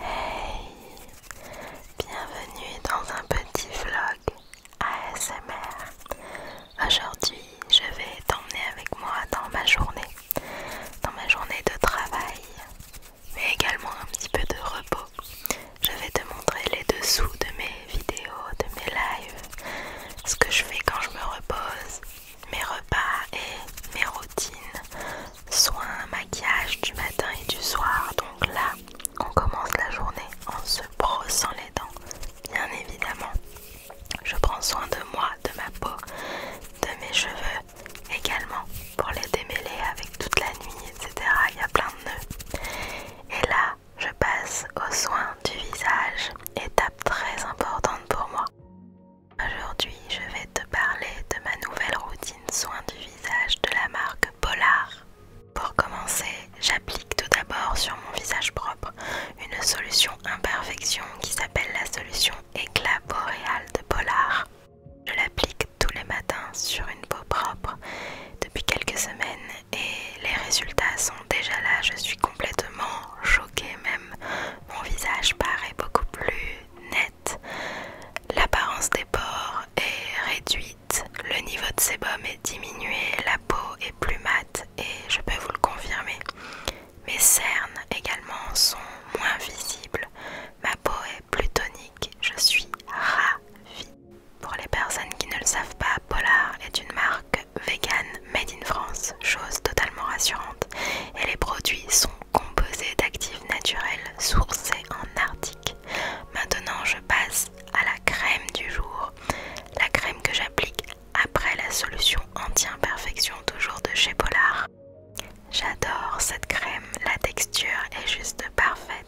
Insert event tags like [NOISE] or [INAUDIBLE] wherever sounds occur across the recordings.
Hey Bienvenue dans un petit vlog ASMR. Aujourd'hui, je vais t'emmener avec moi dans ma journée, dans ma journée de travail, mais également un petit peu de repos. Je vais te montrer les dessous de mes vidéos, de mes lives, ce que je fais quand je me repose, mes repas et mes routines soins, maquillage du matin et du soir. Donc là, on commence la journée en se brossant les dents, bien évidemment. Je prends soin de moi, de ma peau, de mes cheveux également pour les démêler avec toute la nuit, etc. Il y a plein de nœuds. Et là, je passe aux soins du visage, étape très importante pour moi. Aujourd'hui, je vais te parler de ma nouvelle routine soin du visage de la marque Polar. Pour commencer, j'applique tout d'abord sur mon visage propre une solution imperfection qui s'appelle la solution éclat boréal de Polar. Je l'applique tous les matins sur une peau propre. Depuis quelques semaines, et les résultats sont déjà là. Je suis complètement choquée même. Mon visage paraît beaucoup plus net. L'apparence des pores est réduite. Le niveau de sébum est diminué. La peau est plus mate et je peux vous le confirmer. Mes cernes également sont moins visibles. Ma peau est plus tonique. Je suis ravie. Pour les personnes qui ne le savent pas, Polar est une marque vegan made in France, chose totalement rassurante, et les produits sont composés d'actifs naturels sourcés en Arctique. Maintenant, je passe à la crème du jour, la crème que j'applique après la solution anti-imperfection toujours de chez Polar. J'adore cette crème, la texture est juste parfaite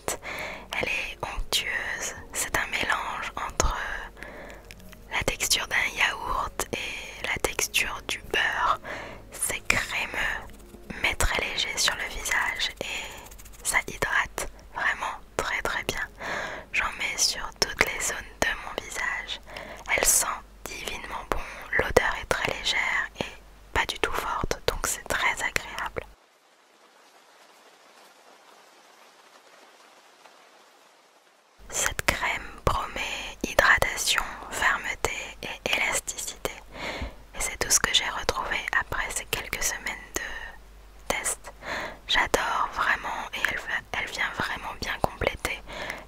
elle est onctueuse. C'est un mélange entre euh, la texture d'un yaourt et la texture du beurre. C'est crémeux, mais très léger sur le visage et ça hydrate vraiment très très bien. J'en mets sur toutes les zones de mon visage. Elle sent divinement bon, l'odeur est très légère et pas du tout forte, donc c'est très agréable. Cette crème promet hydratation, fermeté et élasticité. Et c'est tout ce que j'ai retrouvé après ces quelques semaines de test. J'adore vraiment et elle, vient vraiment bien compléter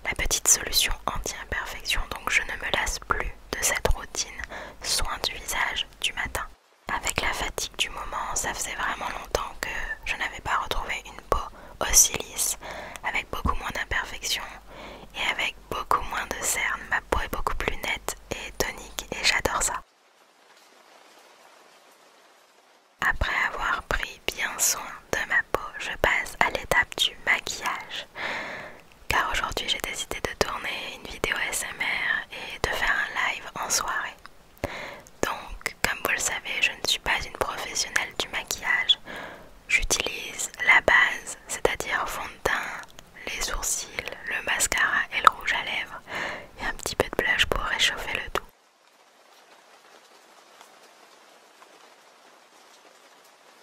la petite solution anti-imperfection. Donc je ne me lasse plus de cette routine soin du visage du matin. Avec la fatigue du moment, ça faisait vraiment longtemps que je n'avais pas retrouvé une peau aussi lisse, avec beaucoup moins d'imperfections et avec beaucoup moins de cernes. Ma peau est beaucoup plus nette et tonique et j'adore ça. Après avoir pris bien soin de ma peau, je passe à l'étape du maquillage car aujourd'hui j'ai décidé de tourner une vidéo SMR et de faire un live en soirée. Donc, comme vous le savez, je ne suis pas une professionnelle du maquillage. J'utilise la base, c'est-à-dire fond de teint, les sourcils, le mascara et le rouge à lèvres, et un petit peu de blush pour réchauffer le tout.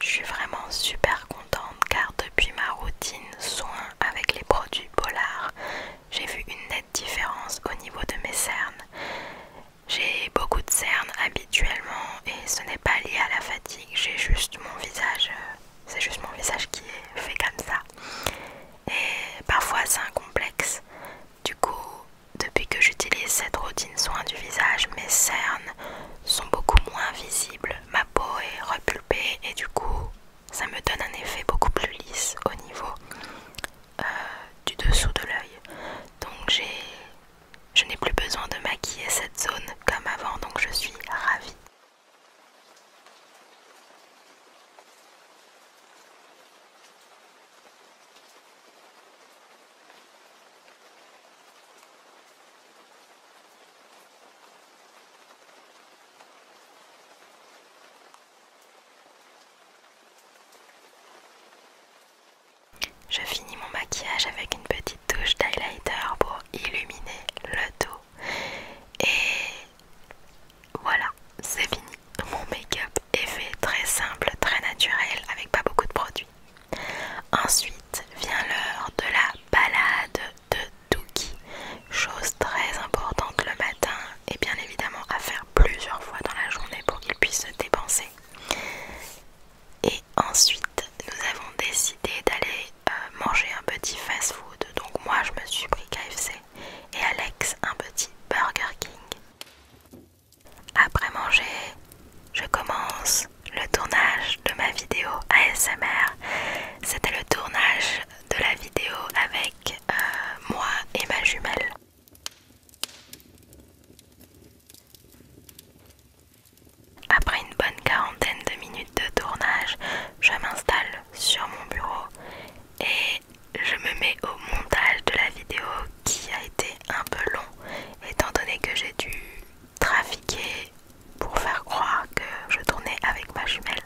Je suis vraiment super contente car depuis ma routine soin avec les produits Polar, j'ai vu une nette différence au niveau de mes cernes. J'ai beaucoup de cernes habituellement et ce n'est pas lié à la fatigue, j'ai juste mon visage, euh, c'est juste mon visage qui est fait comme ça. Et parfois c'est un complexe. Du coup, depuis que j'utilise cette routine soin du visage, mes cernes sont beaucoup moins visibles. Ma peau est repulpée et du coup, ça me donne un effet beaucoup plus lisse au niveau euh, du dessous de l'œil. Donc j'ai, je n'ai plus besoin de maquiller cette zone comme avant, donc je suis ravie. Je finis mon maquillage avec une petite touche d'highlighter pour illuminer le dos. Et voilà, c'est fini. Mon make-up est fait très simple, très naturel, avec pas beaucoup de produits. Ensuite vient l'heure de la balade de Dookie, chose très importante le matin et bien évidemment à faire plusieurs fois dans la journée pour qu'il puisse se dépenser. Et ensuite, nous avons décidé d'aller euh, manger un petit fast-food. Donc moi, je me suis pris KFC et Alex un petit Burger King. Après manger, je commence le tournage de ma vidéo ASMR. C'était le tournage de la vidéo avec euh, moi et ma jumelle. Après une bonne quarantaine de minutes de tournage, je m'installe sur mon bureau et je me mets au montage de la vidéo qui a été un peu long étant donné que j'ai dû trafiquer pour faire croire que je tournais avec ma jumelle.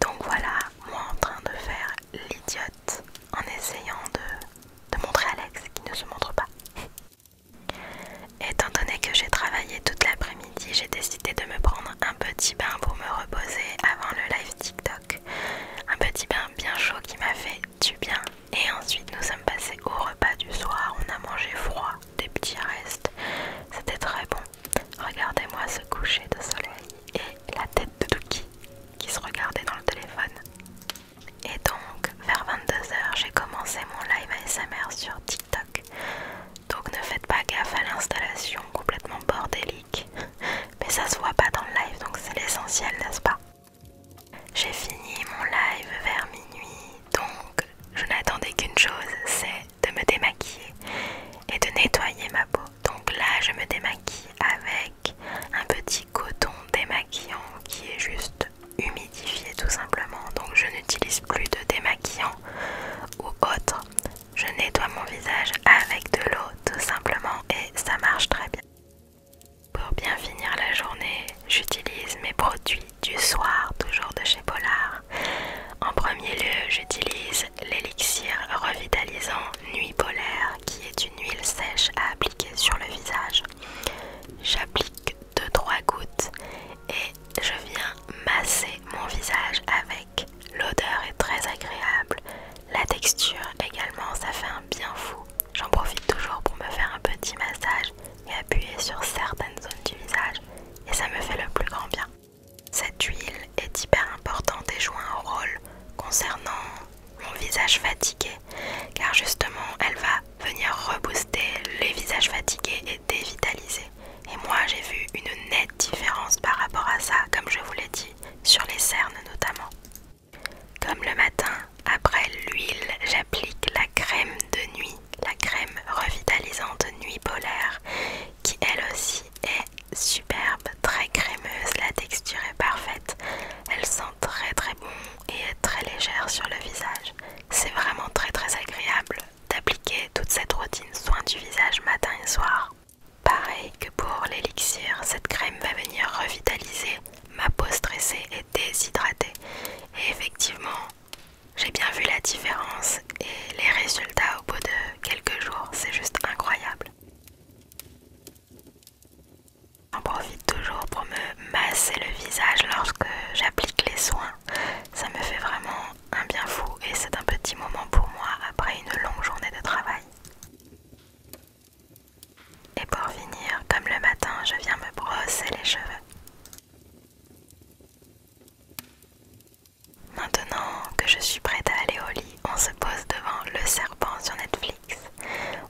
Donc voilà, moi en train de faire l'idiote en essayant de, de montrer Alex qui ne se montre pas. [LAUGHS] Étant donné que j'ai travaillé toute l'après-midi, j'ai décidé de me prendre un petit bain pour me reposer avant le live TikTok. Un petit bain bien chaud qui m'a fait du bien. Et ensuite nous sommes passés au repas du soir. On a mangé froid, des petits restes. C'était très bon. Regardez-moi ce coucher de soleil et la tête de Dookie qui se regardait dans le téléphone. Et donc, vers 22h, j'ai commencé mon live ASMR sur TikTok. Donc ne faites pas gaffe à l'installation complètement bordélique mais ça se voit pas dans le live donc c'est l'essentiel, n'est-ce pas J'ai fini mon live vers minuit donc je n'attendais qu'une chose, c'est de me démaquiller et de nettoyer ma peau. Donc là, je me démaquille avec un petit coton démaquillant qui est juste humidifié tout simplement. Donc je n'utilise plus de démaquillant ou autre. Je nettoie mon visage avec de l'eau tout simplement et ça marche très bien. Pour bien finir la journée, j'utilise mes produits du soir, toujours de chez Polar. En premier lieu, j'utilise l'élixir revitalisant Nuit Polaire qui est une huile sèche à appliquer sur le visage. J'applique 2-3 gouttes et je viens masser mon visage avec. L'odeur est très agréable. La texture également, ça fait un bien fou. J'en profite toujours pour me faire un petit massage et appuyer sur certaines zones du visage et ça me fait le plus grand bien. Cette huile est hyper importante et joue un rôle concernant mon visage fatigué car justement elle va venir rebooster les visages fatigués dévitalisé. Et moi j'ai vu une nette différence par rapport à ça, comme je vous l'ai dit, sur les cernes notamment. Comme le matin, après l'huile, j'applique la crème de nuit, la crème revitalisante nuit polaire, qui elle aussi est superbe, très crémeuse, la texture est parfaite, elle sent très très bon et est très légère sur le visage. C'est vraiment très très agréable d'appliquer toute cette routine soin du visage matin et soir. Pareil que pour l'élixir, cette crème va venir revitaliser ma peau stressée et déshydratée. Et effectivement, j'ai bien vu la différence et les résultats au bout de quelques jours, c'est juste incroyable. J'en profite toujours pour me masser le visage lorsque j'applique les soins. Ça me fait vraiment un bien fou et c'est un petit moment pour moi après une longue journée de travail. Et pour finir, comme le matin, je viens me brosser les cheveux. Maintenant que je suis prête à aller au lit, on se pose devant Le Serpent sur Netflix.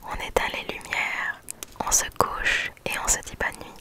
On éteint les lumières, on se couche et on se dit bonne nuit.